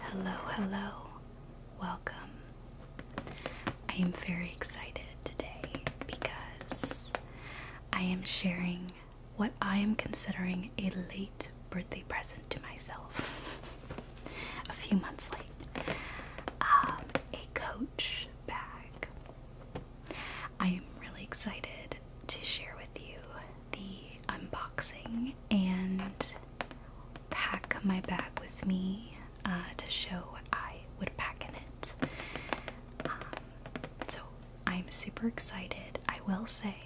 Hello, hello, welcome. I am very excited today because I am sharing what I am considering a late birthday present to myself. a few months late. Um, a coach bag. I am really excited to share with you the unboxing and pack my bag with me uh, to show what I would pack in it. Um, so I'm super excited. I will say,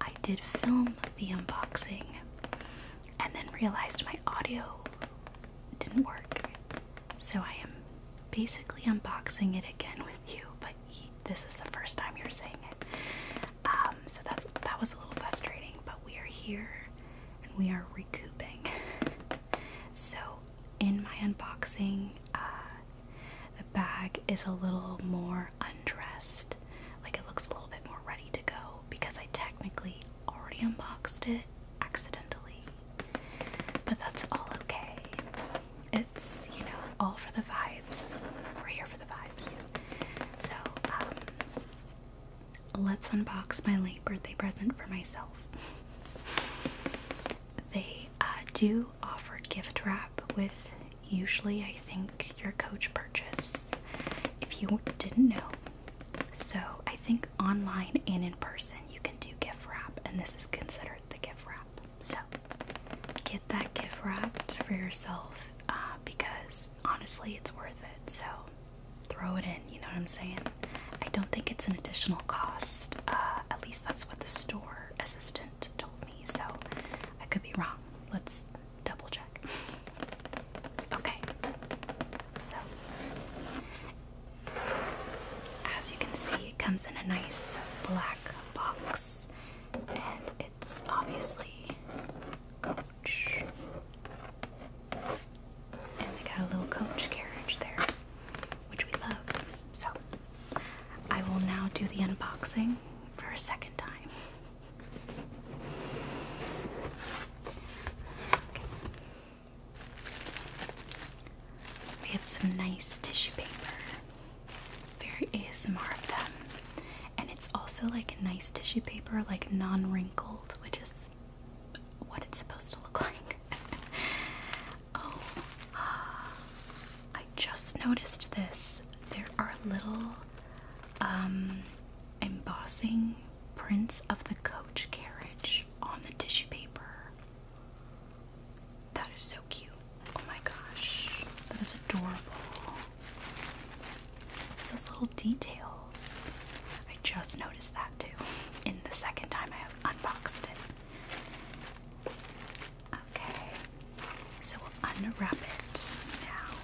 I did film the unboxing and then realized my audio didn't work. So I am basically unboxing it again with you, but this is the first time you're seeing it. Um, so that's that was a little frustrating, but we are here and we are recouping. so in my unboxing, uh, the bag is a little more undressed. Like it looks a little bit more ready to go because I technically already unboxed it accidentally. But that's all okay. It's, you know, all for the vibes. We're here for the vibes. So, um, let's unbox my late birthday present for myself. They uh, do offer gift wrap with usually, I think, your coach purchase if you didn't know. So, I think online and in person you can do gift wrap, and this is considered the gift wrap. So get that gift wrapped for yourself uh, because honestly, it's worth it. So throw it in, you know what I'm saying? I don't think it's an additional cost, uh, at least that's what the store assistant told me. So I could be wrong. Let's double check. Okay, so as you can see, it comes in a nice black box, and it's obviously Coach. And they got a little Coach carriage there, which we love. So, I will now do the unboxing for a second time. We have some nice tissue paper. There is more of them. And it's also like a nice tissue paper, like non wrinkled, which is what it's supposed to look like. oh, I just noticed this. There are little um, embossing prints of the coach carriage on the tissue paper. That is so cute. Oh my gosh. That is adorable. It's those little details. I just noticed that too in the second time I unboxed it. Okay. So we'll unwrap it now.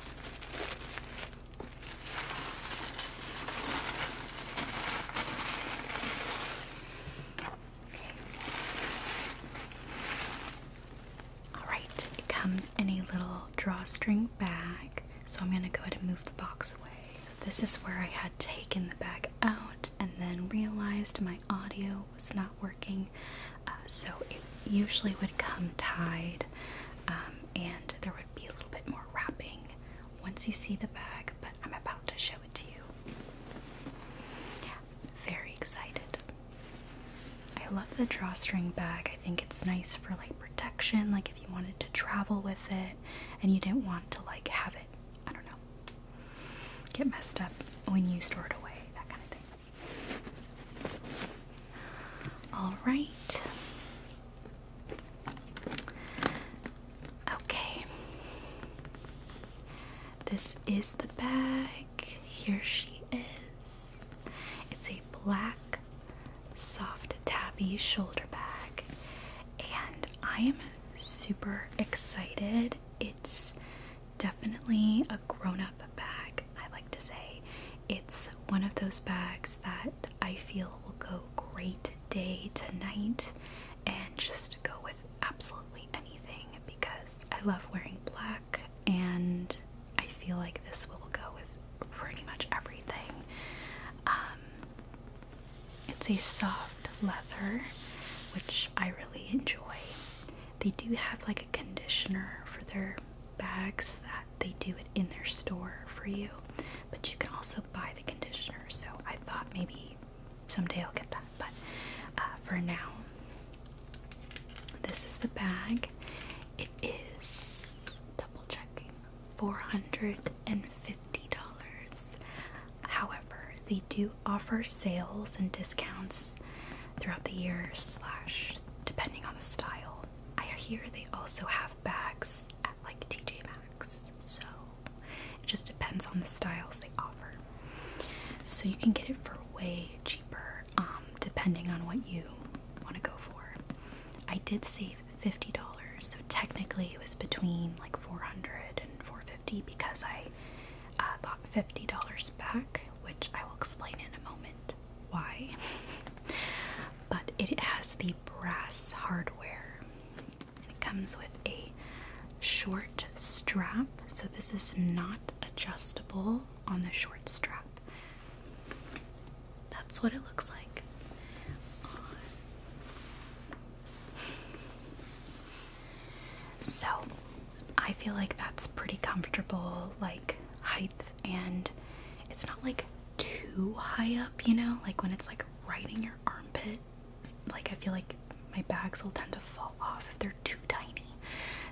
Alright, it comes in a little drawstring bag, so I'm going to go ahead and move the box away. So, this is where I had taken the bag out and then realized my audio was not working, uh, so it usually would come tied um, and there would be a little bit more wrapping once you see the bag, I'm about to show it to you. Very excited. I love the drawstring bag. I think it's nice for like protection, like if you wanted to travel with it and you didn't want to like have it, I don't know, get messed up when you store it away, that kind of thing. Alright. Okay. This is the bag. Here she is. It's a black, soft tabby shoulder bag, and I am super excited. It's definitely a grown up bag, I like to say. It's one of those bags that I feel will go great day to night and just go with absolutely anything because I love wearing black and I feel like this will go with pretty much everything. Um, it's a soft leather, which I really enjoy. They do have like a conditioner for their bags that they do it in their store for you, but you can also buy the conditioner. So I thought maybe someday I'll get that, but uh, for now, this is the bag. It is double checking $450. However, they do offer sales and discounts throughout the year, slash, depending on the style. I hear they also have bags at like TJ Maxx. So it just depends on the styles they offer. So you can get it for way cheaper um, depending on what you want to go for. I did save $50, so technically it was between like 400 and 450 because I uh, got $50 back, which I will explain in a moment why. but it has the brass hardware and it comes with a short strap, so this is not adjustable on the short strap. That's what it looks like. So, I feel like that's pretty comfortable, like height, and it's not like too high up, you know, like when it's like right in your armpit like I feel like my bags will tend to fall off if they're too tiny.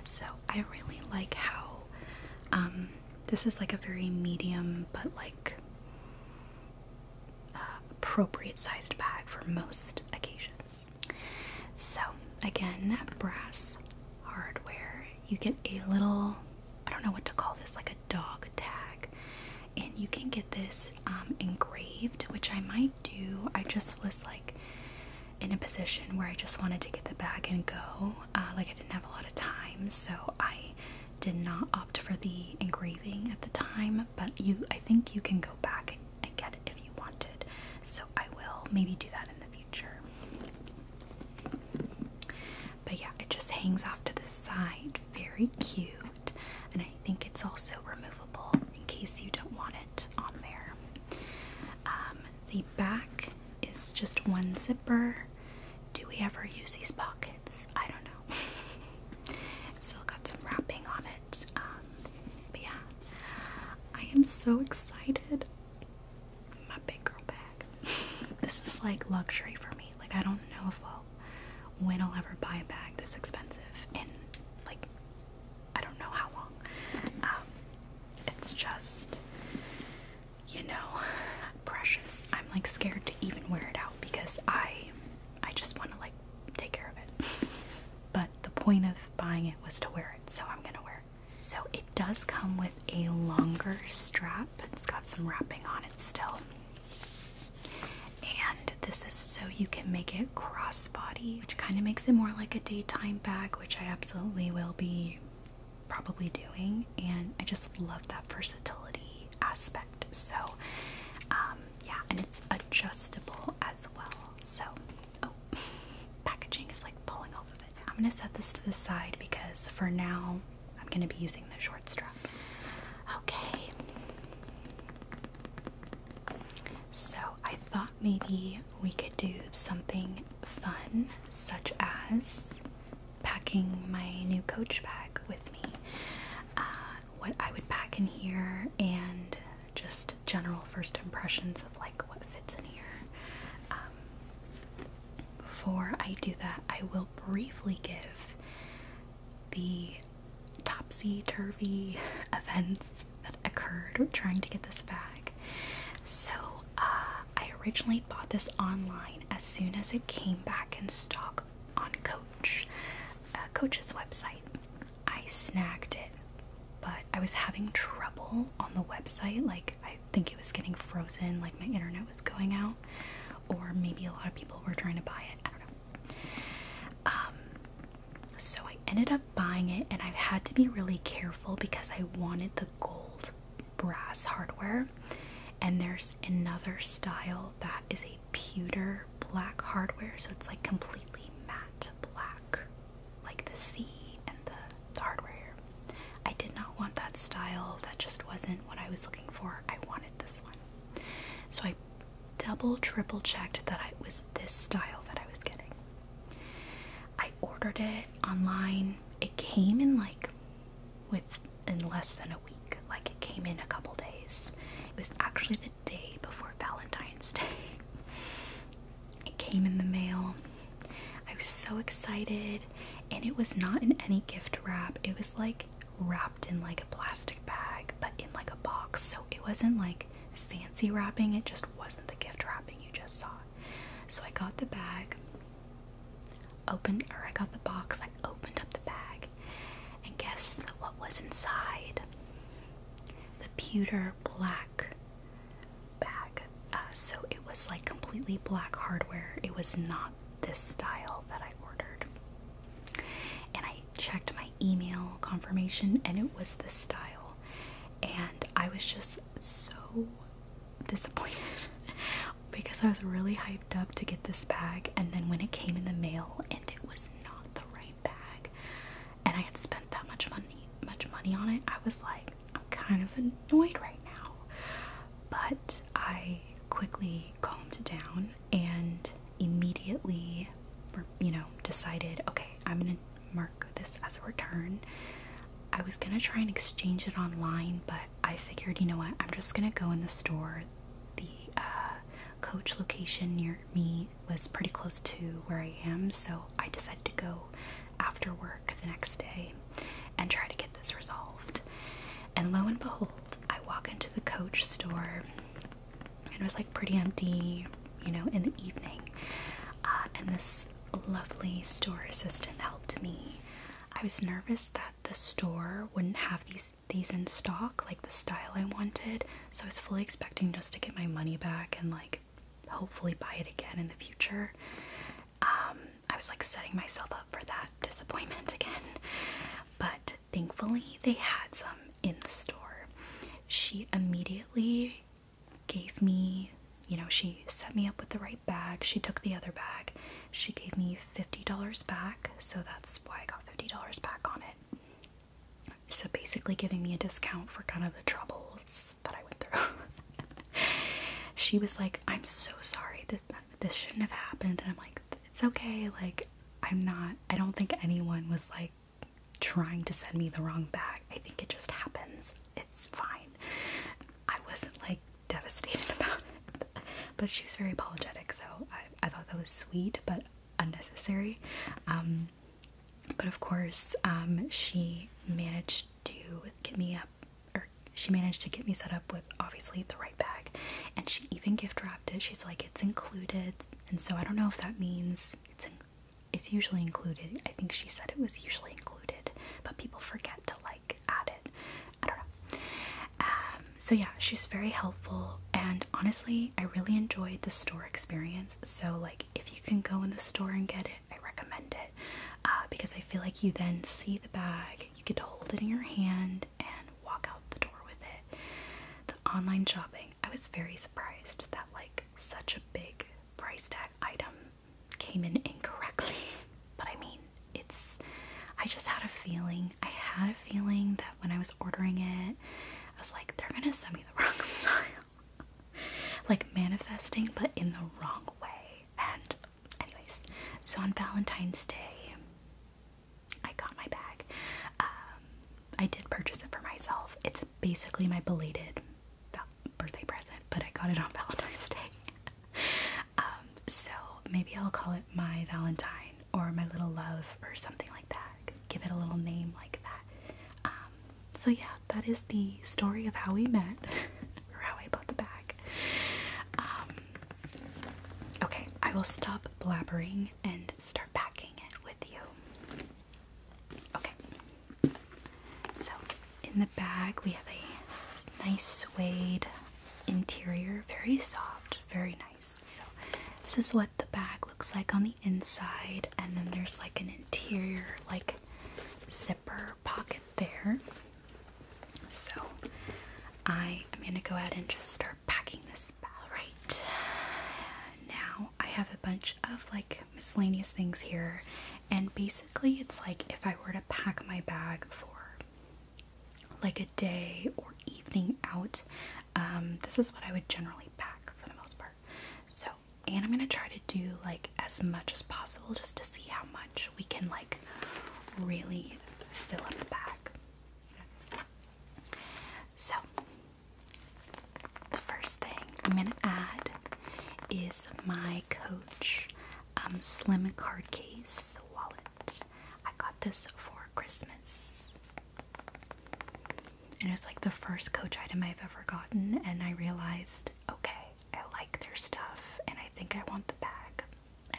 So I really like how um, this is like a very medium but like uh, appropriate sized bag for most occasions. So again, brass hardware. You get a little I don't know what to call this, like a dog tag. And you can get this um, engraved, which I might do. I just was like in a position where I just wanted to get the bag and go. Uh, like I didn't have a lot of time, so I did not opt for the engraving at the time. But you, I think you can go back and, and get it if you wanted. So I will maybe do that in the future. But yeah, it just hangs off to the side. Very cute and I think it's also removable in case you don't want it on there. Um, the back is just one zipper. Do we ever use these pockets? I don't know. still got some wrapping on it. Um, but yeah, I am so excited. My big girl bag. this is like luxury for me. Like I don't know if well when I'll ever buy a bag this expensive and like I don't know how long. Um, it's just, you know, precious. I'm like scared to even wear it out because I, I just want to like take care of it. but the point of buying it was to wear it, so I'm gonna wear it. So it does come with a longer strap. It's got some wrapping on it still and this is so you can make it crossbody, which kind of makes it more like a daytime bag, which I absolutely will be probably doing. And I just love that versatility aspect. So, um, yeah, and it's adjustable as well. So, oh, packaging is like pulling off of it. I'm gonna set this to the side because for now I'm gonna be using the short strap. Okay. So I thought maybe we could do something fun, such as packing my new coach bag with me. Uh, what I would pack in here and just general first impressions of like what fits in here. Um, before I do that, I will briefly give the topsy turvy events that occurred trying to get this bag. So uh, I originally bought this online as soon as it came back in stock on Coach, uh, Coach's website. I snagged it, but I was having trouble on the website. Like, I think it was getting frozen, like, my internet was going out, or maybe a lot of people were trying to buy it. I don't know. Um, so I ended up buying it, and I had to be really careful because I wanted the gold brass hardware. And there's another style that is a pewter black hardware, so it's like completely matte black, like the sea and the, hardware. I did not want that style, that just wasn't what I was looking for. I wanted this one. So I double, triple checked that I was this style that I was getting. I ordered it online. It came in like with in less than a week. Like it came in a couple days. It was actually the day before Valentine's Day. It came in the mail. I was so excited and it was not in any gift wrap. It was like wrapped in like a plastic bag but in like a box. So it wasn't like fancy wrapping, it just wasn't the gift wrapping you just saw. So I got the bag, opened, or I got the box, I opened up the bag, and guess what was inside? The pewter black bag. Uh, so it was like completely black hardware. It was not this style that I ordered. And I checked my email confirmation and it was the style. And I was just so disappointed because I was really hyped up to get this bag. And then when it came in the mail and it was not the right bag, and I had spent that much money, much money on it, I was like, I'm kind of annoyed right now. But I quickly calmed down and immediately, you know, decided, okay, I'm gonna mark this as a return. I was gonna try and exchange it online, but I figured, you know what, I'm just gonna go in the store. The uh, coach location near me was pretty close to where I am, so I decided to go after work the next day and try to get this resolved. And lo and behold, I walk into the coach store it was like pretty empty, you know, in the evening. Uh, and this lovely store assistant helped me. I was nervous that the store wouldn't have these these in stock, like the style I wanted. So I was fully expecting just to get my money back and like hopefully buy it again in the future. Um, I was like setting myself up for that disappointment again. But thankfully, they had some in the store. She immediately immediately gave me, you know, she set me up with the right bag. She took the other bag. She gave me $50 back, so that's why I got $50 back on it. So basically, giving me a discount for kind of the troubles that I went through. she was like, I'm so sorry that this shouldn't have happened. And I'm like, it's okay. Like, I'm not, I don't think anyone was like, trying to send me the wrong bag. I think it just happens. It's fine. I wasn't like devastated about it, but she was very apologetic, so I, I thought that was sweet but unnecessary. Um, but of course, um, she managed to get me up, or she managed to get me set up with obviously the right bag, and she even gift wrapped it. She's like, it's included, and so I don't know if that means it's it's usually included. I think she said it was usually included, but people forget to like add it. I don't know. Um, so yeah, she was very helpful, and honestly, I really enjoyed the store experience. So like, if you can go in the store and get it, I recommend it uh, because I feel like you then see the bag, you get to hold it in your hand, and walk out the door with it. The online shopping, I was very surprised that like such a big price tag item came in incorrectly. but I mean, it's. I just had a feeling. I had a feeling that when I was ordering it, I was like, they're gonna send me the wrong style. like manifesting, but in the wrong way. And, anyways, so on Valentine's Day, I got my bag. Um, I did purchase it for myself. It's basically my belated birthday present, but I got it on Valentine's Day. Um, so maybe I'll call it my Valentine or my little love or something like that. Give it a little name like that. Um, so yeah, that is the story of how we met or how I bought the bag. Um, okay, I will stop blabbering and start start packing it with you. Okay. So, in the bag, we have a nice suede interior, very soft, very nice. So, this is what the bag looks like on the inside, and then there's like an interior, like zipper pocket there. So, I am going to go ahead and just start packing this bag right now. I have a bunch of like miscellaneous things here, and basically it's like if I were to pack my bag for like a day or evening out, um, this is what I would generally pack for the most part. So, and I'm gonna try to do like as much as possible just to see how much we can like really fill up the bag. So, the first thing I'm gonna add is my Coach um, Slim Card Case wallet. I got this for Christmas. And it was like the first Coach item I've ever gotten, and I realized, okay, I like their stuff, and I think I want the bag.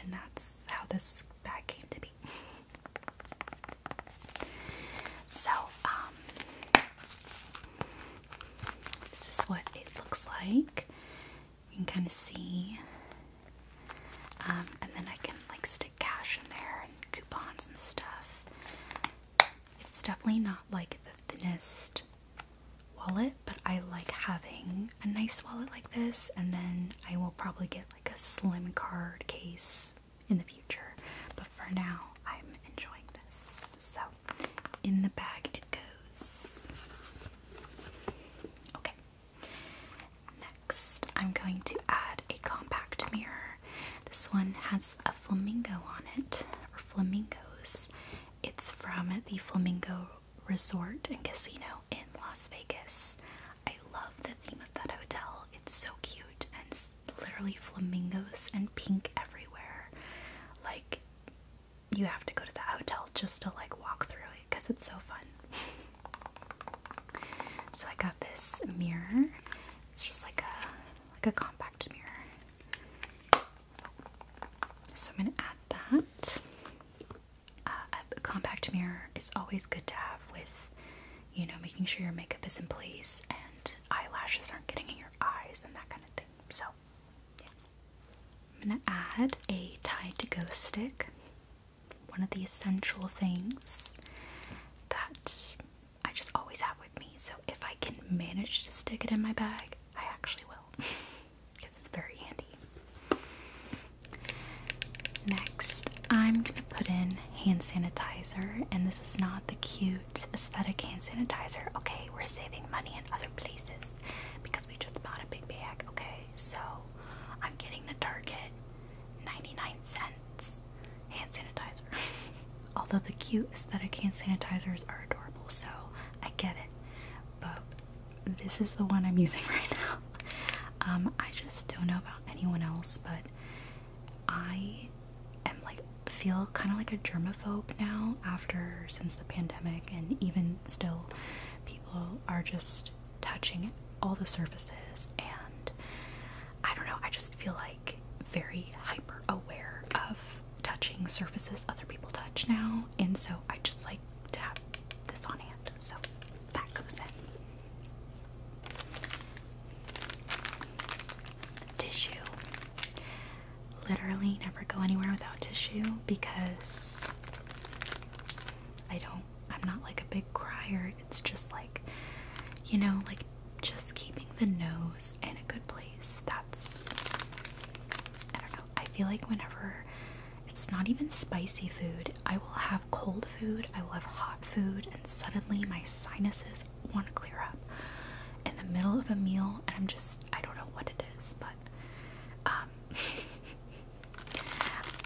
And that's how this bag came to be. so, um, this is what it looks like. You can kind of see. Um, and then I can like stick cash in there and coupons and stuff. It's definitely not like the thinnest wallet, but I like having a nice wallet like this. And then I will probably get like a slim card case in the future, but for now, I'm enjoying this. So, in the bag it goes. Okay. Next, I'm going to add a compact mirror. This one has a flamingo on it, or flamingos. It's from the Flamingo Resort and Casino in Las Vegas. I love the theme of that hotel. It's so cute and literally flamingos and pink everywhere. Like, you have to go to that hotel just to like walk through it because it's so fun. so I got this mirror. It's just like a like a compact mirror. So I'm gonna add that. Uh, a compact mirror is always good to have with, you know, making sure your makeup is in place and eyelashes aren't getting in your eyes and that kind of thing. So, I'm gonna add a tie to go stick, one of the essential things that I just always have with me. So, if I can manage to stick it in my bag, I actually will because it's very handy. Next, I'm gonna put in hand sanitizer, and this is not the cute. Aesthetic Hand Sanitizer. Okay, we're saving money in other places because we just bought a big bag. Okay, so I'm getting the Target 99 cents hand sanitizer. Although the cute aesthetic hand sanitizers are adorable, so I get it. But this is the one I'm using right now. Um, I just don't know about anyone else, but I am like feel kind of like a germaphobe now after since the pandemic and even still people are just touching all the surfaces and I don't know, I just feel like very hyper aware of touching surfaces other people touch now and so I just like to have this on hand. So that goes in tissue. Literally never go anywhere without tissue because I don't, I'm not like a big crier. It's just like, you know, like just keeping the nose in a good place. That's, I don't know. I feel like whenever it's not even spicy food, I will have cold food, I will have hot food, and suddenly my sinuses want to clear up in the middle of a meal, and I'm just, I don't know what it is, but um,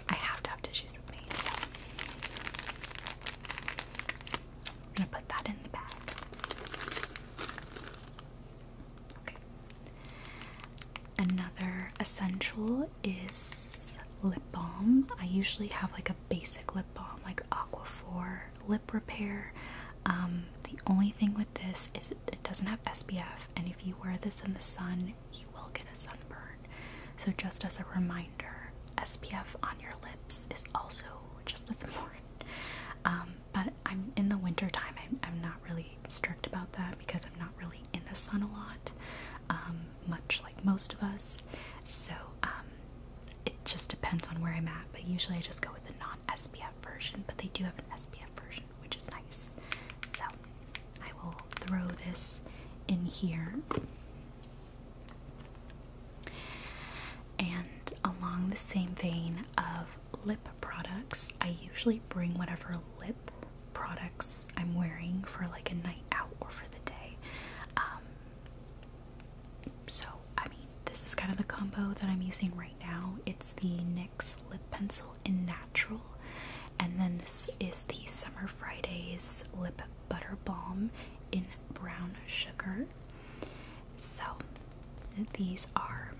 I have to have tissues with me, so I'm gonna put that in the bag. Okay. Another essential is lip balm. I usually have like a basic lip lip balm like Aquaphor lip repair. Um, the only thing with this is it, doesn't have SPF, and if you wear this in the sun, you will get a sunburn. So, just as a reminder, SPF on your lips is also just as important. Um, but I'm in the winter time. I'm, not really strict about that because I'm not really in the sun a lot, um, much like most of us. So um, it just depends on where I'm at, but usually I just go with the non-SPF version, but they do have an SPF version, which is nice. So I will throw this in here. And along the same vein of lip products, I usually bring whatever lip products I'm wearing for like a night out or for the day. Um, so I mean this is kind of the combo that I'm using right now. It's the NYX lip pencil in natural and then this is the Summer Fridays lip butter balm in brown sugar. So these are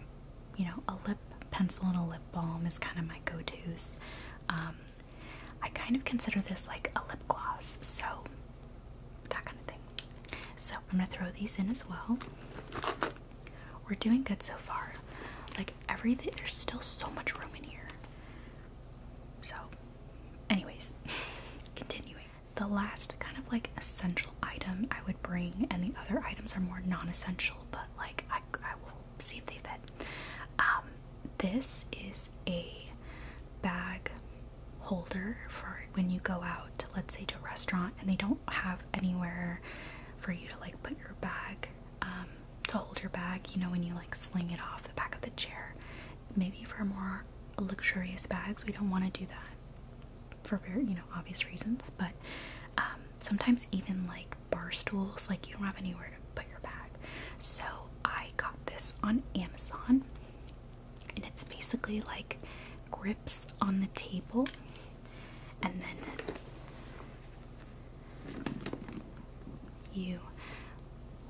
you know a lip pencil and a lip balm is kind of my go-to's. Um, I kind of consider this like a lip gloss. So that kind of thing. So I'm gonna throw these in as well. We're doing good so far. Like everything, there's still so much room in here. So, anyways, continuing. The last kind of like essential item I would bring, and the other items are more non essential, but like I, I will see if they fit. Um, this is a bag holder for when you go out, let's say to a restaurant, and they don't have anywhere for you to like put your bag um, to hold your bag, you know, when you like sling it off the back of the chair. Maybe for more luxurious bags, we don't want to do that for very, you know, obvious reasons, but um, sometimes even like bar stools, like you don't have anywhere to put your bag. So I got this on Amazon and it's basically like grips on the table and then you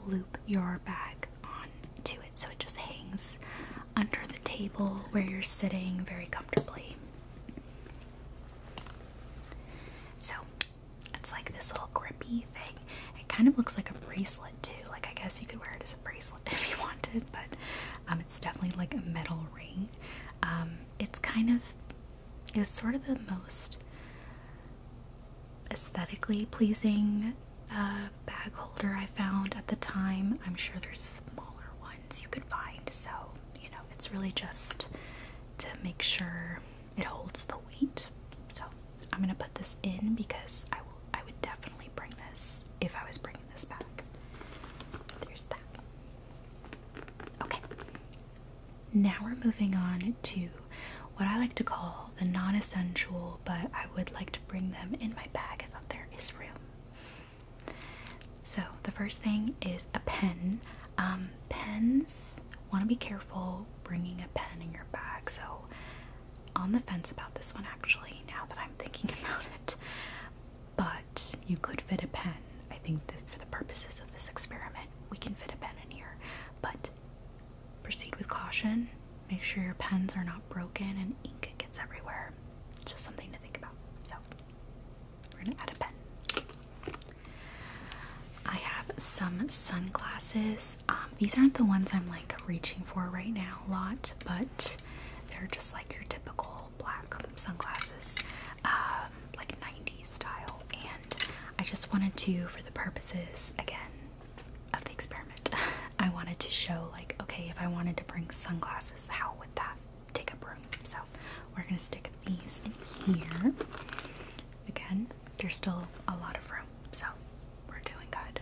loop your bag on to it so it just hangs under the table where you're sitting very comfortably. So it's like this little grippy thing. It kind of looks like a bracelet too. Like I guess you could wear it as a bracelet. if you wanted, but um, it's definitely like a metal ring. Um, it's kind of, it was sort of the most aesthetically pleasing uh, bag holder I found at the time. I'm sure there's smaller ones you could find, so you know, it's really just to make sure it holds the weight. So I'm gonna put this in because I will. I would definitely bring this if I was bringing Okay. Now we're moving on to what I like to call the non essential, but I would like to bring them in my bag if there is room. So, the first thing is a pen. Um, pens, want to be careful bringing a pen in your bag. So, on the fence about this one actually, now that I'm thinking about it but you could fit a pen. I think for the purposes of this experiment, we can fit a pen in here, but proceed with caution. Make sure your pens are not broken and ink gets everywhere. It's just something to think about. So, we're gonna add a pen. I have some sunglasses. Um, these aren't the ones I'm like reaching for right now a lot, but they're just like your typical black sunglasses, um, like 90s style. And I just wanted to, for the purposes again of the experiment, I wanted to show like, okay, if I wanted to bring sunglasses, how would that take up room? So we're gonna stick these in here. Again, there's still a lot of room, so we're doing good.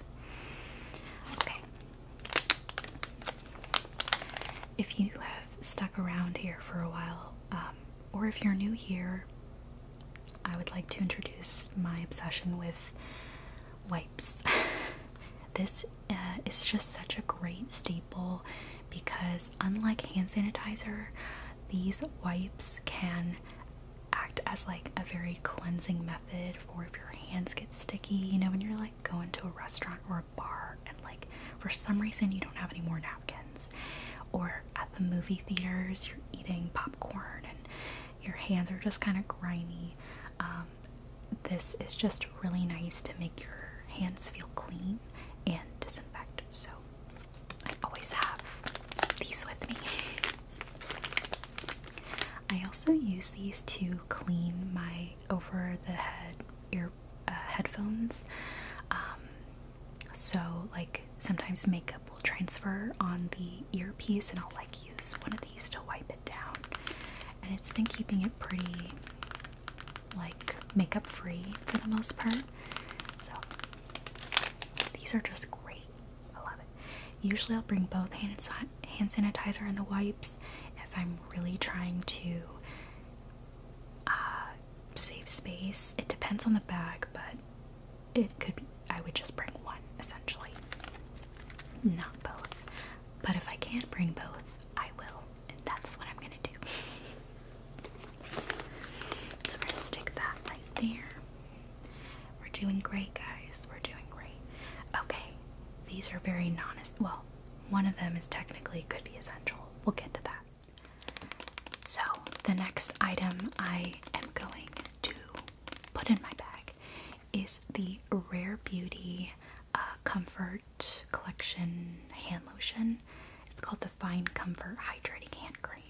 Okay, if you have stuck around here for a while, um, or if you're new here, I would like to introduce my obsession with wipes. this uh, is just such a great staple because, unlike hand sanitizer, these wipes can act as like a very cleansing method for if your hands get sticky, you know, when you're like like go into a restaurant or a bar and like for some reason you don't have any more napkins, or at the movie theaters you're eating popcorn and your hands are just kind of grimy. Um, this is just really nice to make your hands feel clean and disinfect. So I always have these with me. I also use these to clean my over the head ear uh, headphones. Um, so like sometimes makeup will transfer on the earpiece, and I'll like use one of these to wipe it down. And it's been keeping it pretty like makeup free for the most part. So these are just great. I love it. Usually I'll bring both hand and side hand sanitizer and the wipes if I'm really trying to uh, save space. It depends on the bag, but it could be, I would just bring one essentially, not both. But if I can't bring both, I will, and that's what I'm gonna do. so we're gonna stick that right there. We're doing great, guys. We're doing great. Okay, these are very non well, one of them is technically could be essential. We'll get to that. So, the next item I am going to put in my bag is the Rare Beauty uh, Comfort Collection Hand Lotion. It's called the Fine Comfort Hydrating Hand Cream.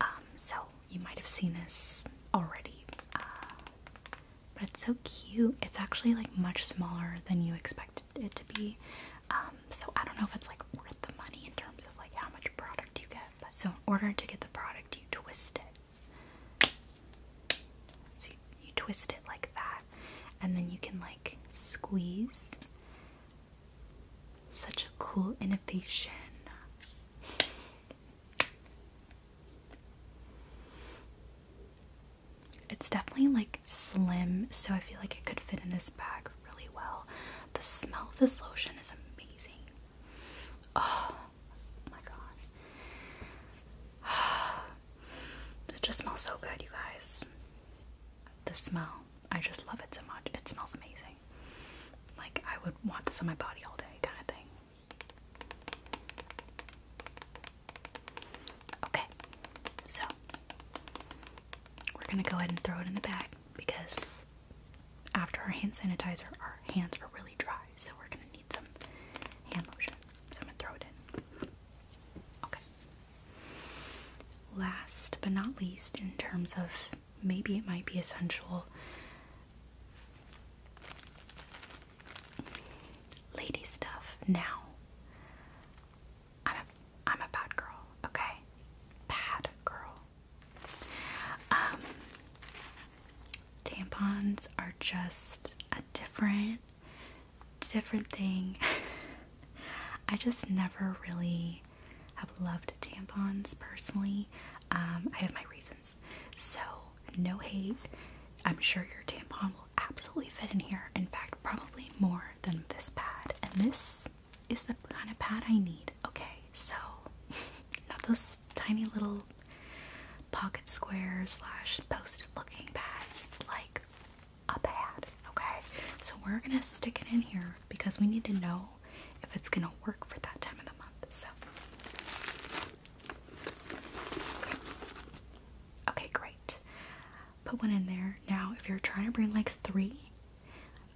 Um, so, you might have seen this already. Uh, but it's so cute. It's actually like much smaller than you expected it to be. Um, so I don't know if it's like worth the money in terms of like how much product you get. But so in order to get the product, you twist it. So you twist it like that, and then you can like squeeze. Such a cool innovation. It's definitely like slim, so I feel like it could fit in this bag really well. The smell of this lotion is amazing. Oh my god. It just smells so good, you guys. The smell. I just love it so much. It smells amazing. Like, I would want this on my body all day, kind of thing. Okay, so we're gonna go ahead and throw it in the bag because after our hand sanitizer, our hands were really dry, so we're gonna need some hand lotion. So I'm gonna throw it in. Okay. Last but not least, in terms of maybe it might be essential, lady stuff now. I'm a, I'm a bad girl, okay? Bad girl. Um, tampons are just a different, different thing. I just never really have loved tampons personally. Um, I have my reasons. So, no hate. I'm sure your tampon will absolutely fit in here. In fact, probably more than this pad. And this is the kind of pad I need. Okay, so not those tiny little pocket squares slash post looking pads. Like a pad. Okay, so we're gonna stick it in here because we need to know if it's gonna work for that time of the month. So Okay, great. Put one in there. Now, if you're trying to bring like three,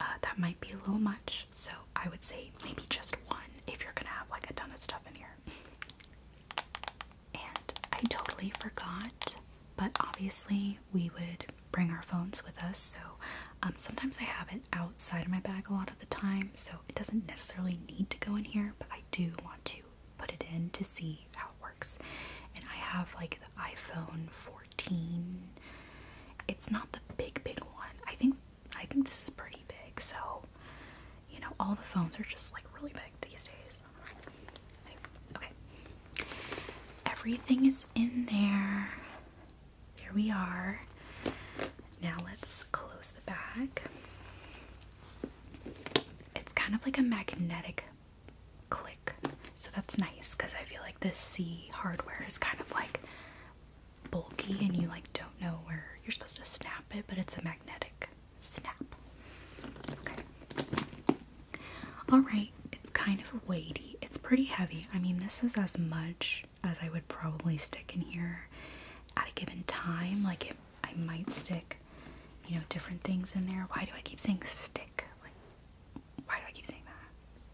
uh, that might be a little much. So I would say maybe just one if you're gonna have like a ton of stuff in here. And I totally forgot, but obviously we would bring our phones with us. So um, sometimes I have it outside of my bag a lot of the time, so it doesn't necessarily need to go in here, but I do want to put it in to see how it works. And I have like the iPhone 14. It's not the big big one. I think I think this is pretty big. So, you know, all the phones are just like really big these days. Okay. Everything is in there. There we are. Now let's close the bag. It's kind of like a magnetic click. So that's nice because I feel like the C hardware is kind of like bulky and you like don't know where you're supposed to snap it, but it's a magnetic snap. Okay. Alright, it's kind of weighty. It's pretty heavy. I mean, this is as much as I would probably stick in here at a given time. Like it I might stick, you know, different things in there. Why do I keep saying stick? Like, why do I keep saying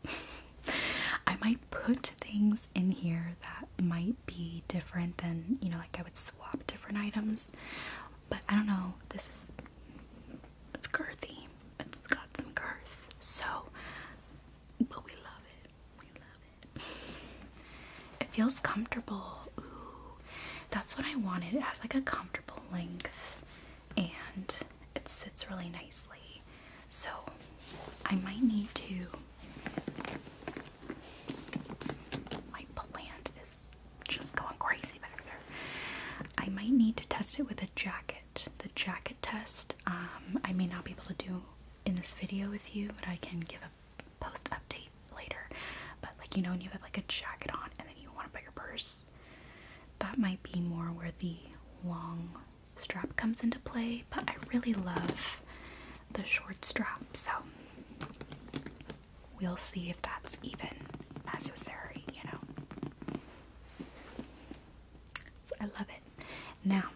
that? I might put things in here that might be different than, you know, like I would swap different items. But I don't know. This is it's girthy. It's got some girth. So, but we love it. We love it. It feels comfortable that's what I wanted. It has like a comfortable length and it sits really nicely. So I might need to. My plant is just going crazy back there. I might need to test it with a jacket. The jacket test, um, I may not be able to do in this video with you, but I can give a post update later. But like you know, when you have like a jacket on and then you want to put your purse, that might be more where the long strap comes into play. But I really love the short strap, so we'll see if that's even necessary, you know. I love it. Now,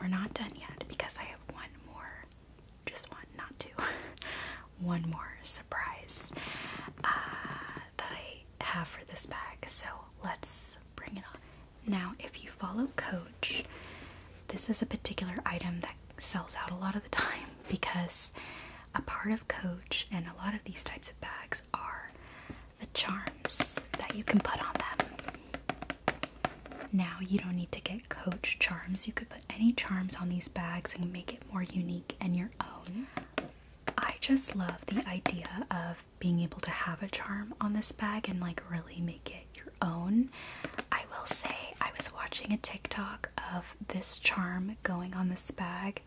we're not done yet because I have one more just one, not two, one more surprise uh, that I have for this bag. So let's bring it on. Now, if you follow Coach, this is a particular item that sells out a lot of the time because a part of Coach and a lot of these types of bags are the charms that you can put on them. Now, you don't need to get Coach charms. You could put any charms on these bags and make it more unique and your own. I just love the idea of being able to have a charm on this bag and like really make it your own. I will say, I was watching a TikTok of this charm going on this bag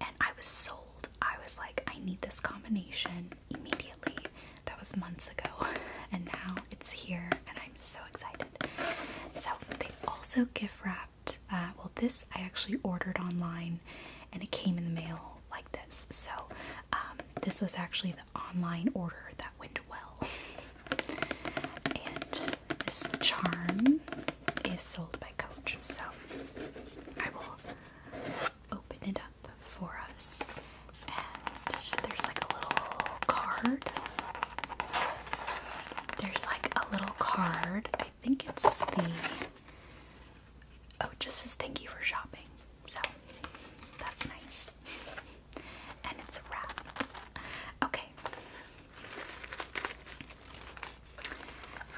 and I was sold. I was like, I need this combination immediately. That was months ago, and now it's here, and I. I'm so excited. So they also gift wrapped. Uh, well, this I actually ordered online, and it came in the mail like this. So um, this was actually the online order that went well. and this charm is sold by Coach. So I will open it up for us. And there's like a little card there's like a little card. I think it's the oh, just says thank you for shopping. So that's nice. And it's wrapped. Okay.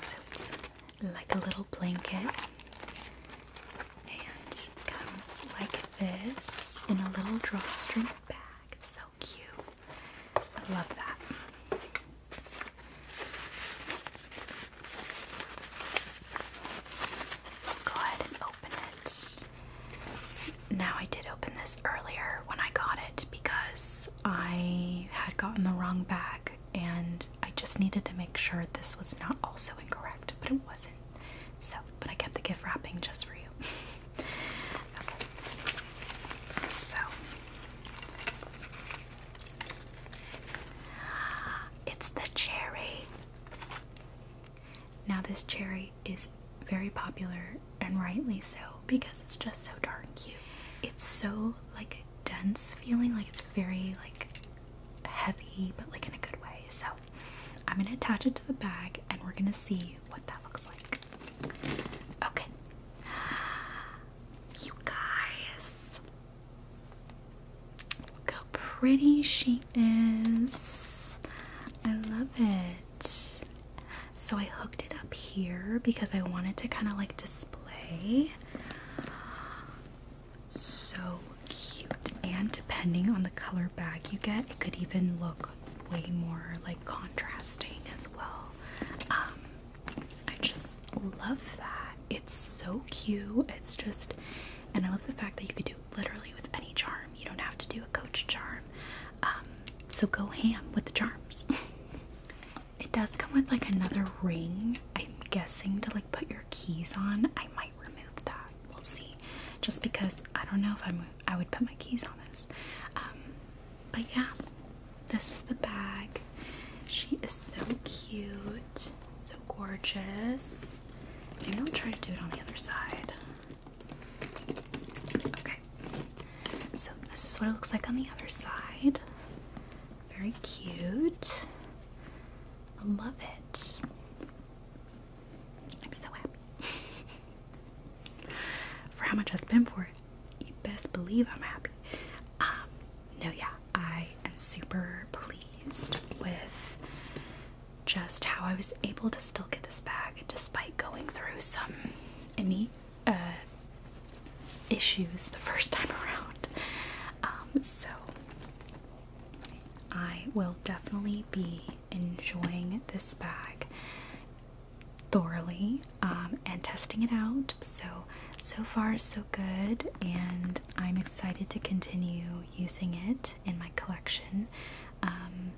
So it's like a little blanket and comes like this in a little drawstring bag. so cute. I love that. go ahead and open it. Now, I did open this earlier when I got it because I had gotten the wrong bag and I just needed to make sure this was not also incorrect, but it wasn't. So, but I kept the gift wrapping just for you. So it's the cherry. Now this cherry is very popular and rightly so because it's just so darn cute. It's so like dense feeling, like it's very like heavy, but like in a good way. So I'm gonna attach it to the bag and we're gonna see what that looks like. Okay. You guys. Look how pretty she is. I love it. So I hooked it up here because I wanted to kind of like display. So cute. And depending on the color bag you get, it could even look way more like contrasting as well. Um, I just love that. It's so cute. It's just, and I love the fact that you could do literally with any charm. You don't have to do a coach charm. Um, so go ham with the charms. it does come with like another ring. I'm guessing to like put your keys on. I might remove that. We'll see. Just because I don't know if I'm I would put my keys on this. Um, but yeah, this is the bag. She is so cute, so gorgeous. I'm gonna try to do it on the other side. Okay, so this is what it looks like on the other side. Very cute. I love it. I'm so happy. for how much I spent for it. You best believe I'm happy. Um, no, yeah, I am super pleased with just how I was able to still get this bag despite going through some in me uh, issues the first time around. Um, so I will definitely be enjoying this bag thoroughly um, and testing it out. So, so far, so good, and I'm excited to continue using it in my collection. Um,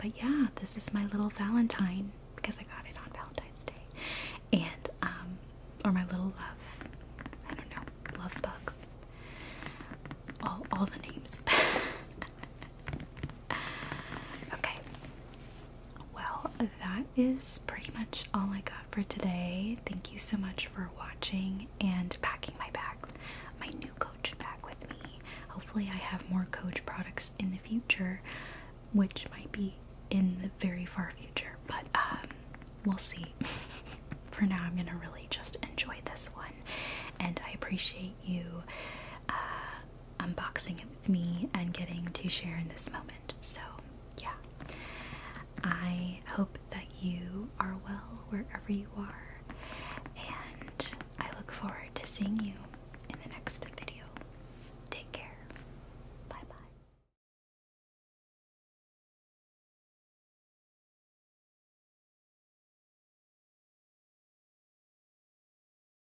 but yeah, this is my little Valentine because I got it on Valentine's Day, and um, or my little love, I don't know, love bug. All, all the names. okay. Well, that is pretty much all I got for today. Thank you so much for watching and packing my bag, my new Coach bag with me. Hopefully, I have more Coach products in the future, which might be in the very far future, but um, we'll see. for now, I'm gonna really just enjoy this one, and I appreciate you. Uh, unboxing it with me and getting to share in this moment. So, yeah. I hope that you are well wherever you are, and I look forward to seeing you in the next video. Take care. Bye bye.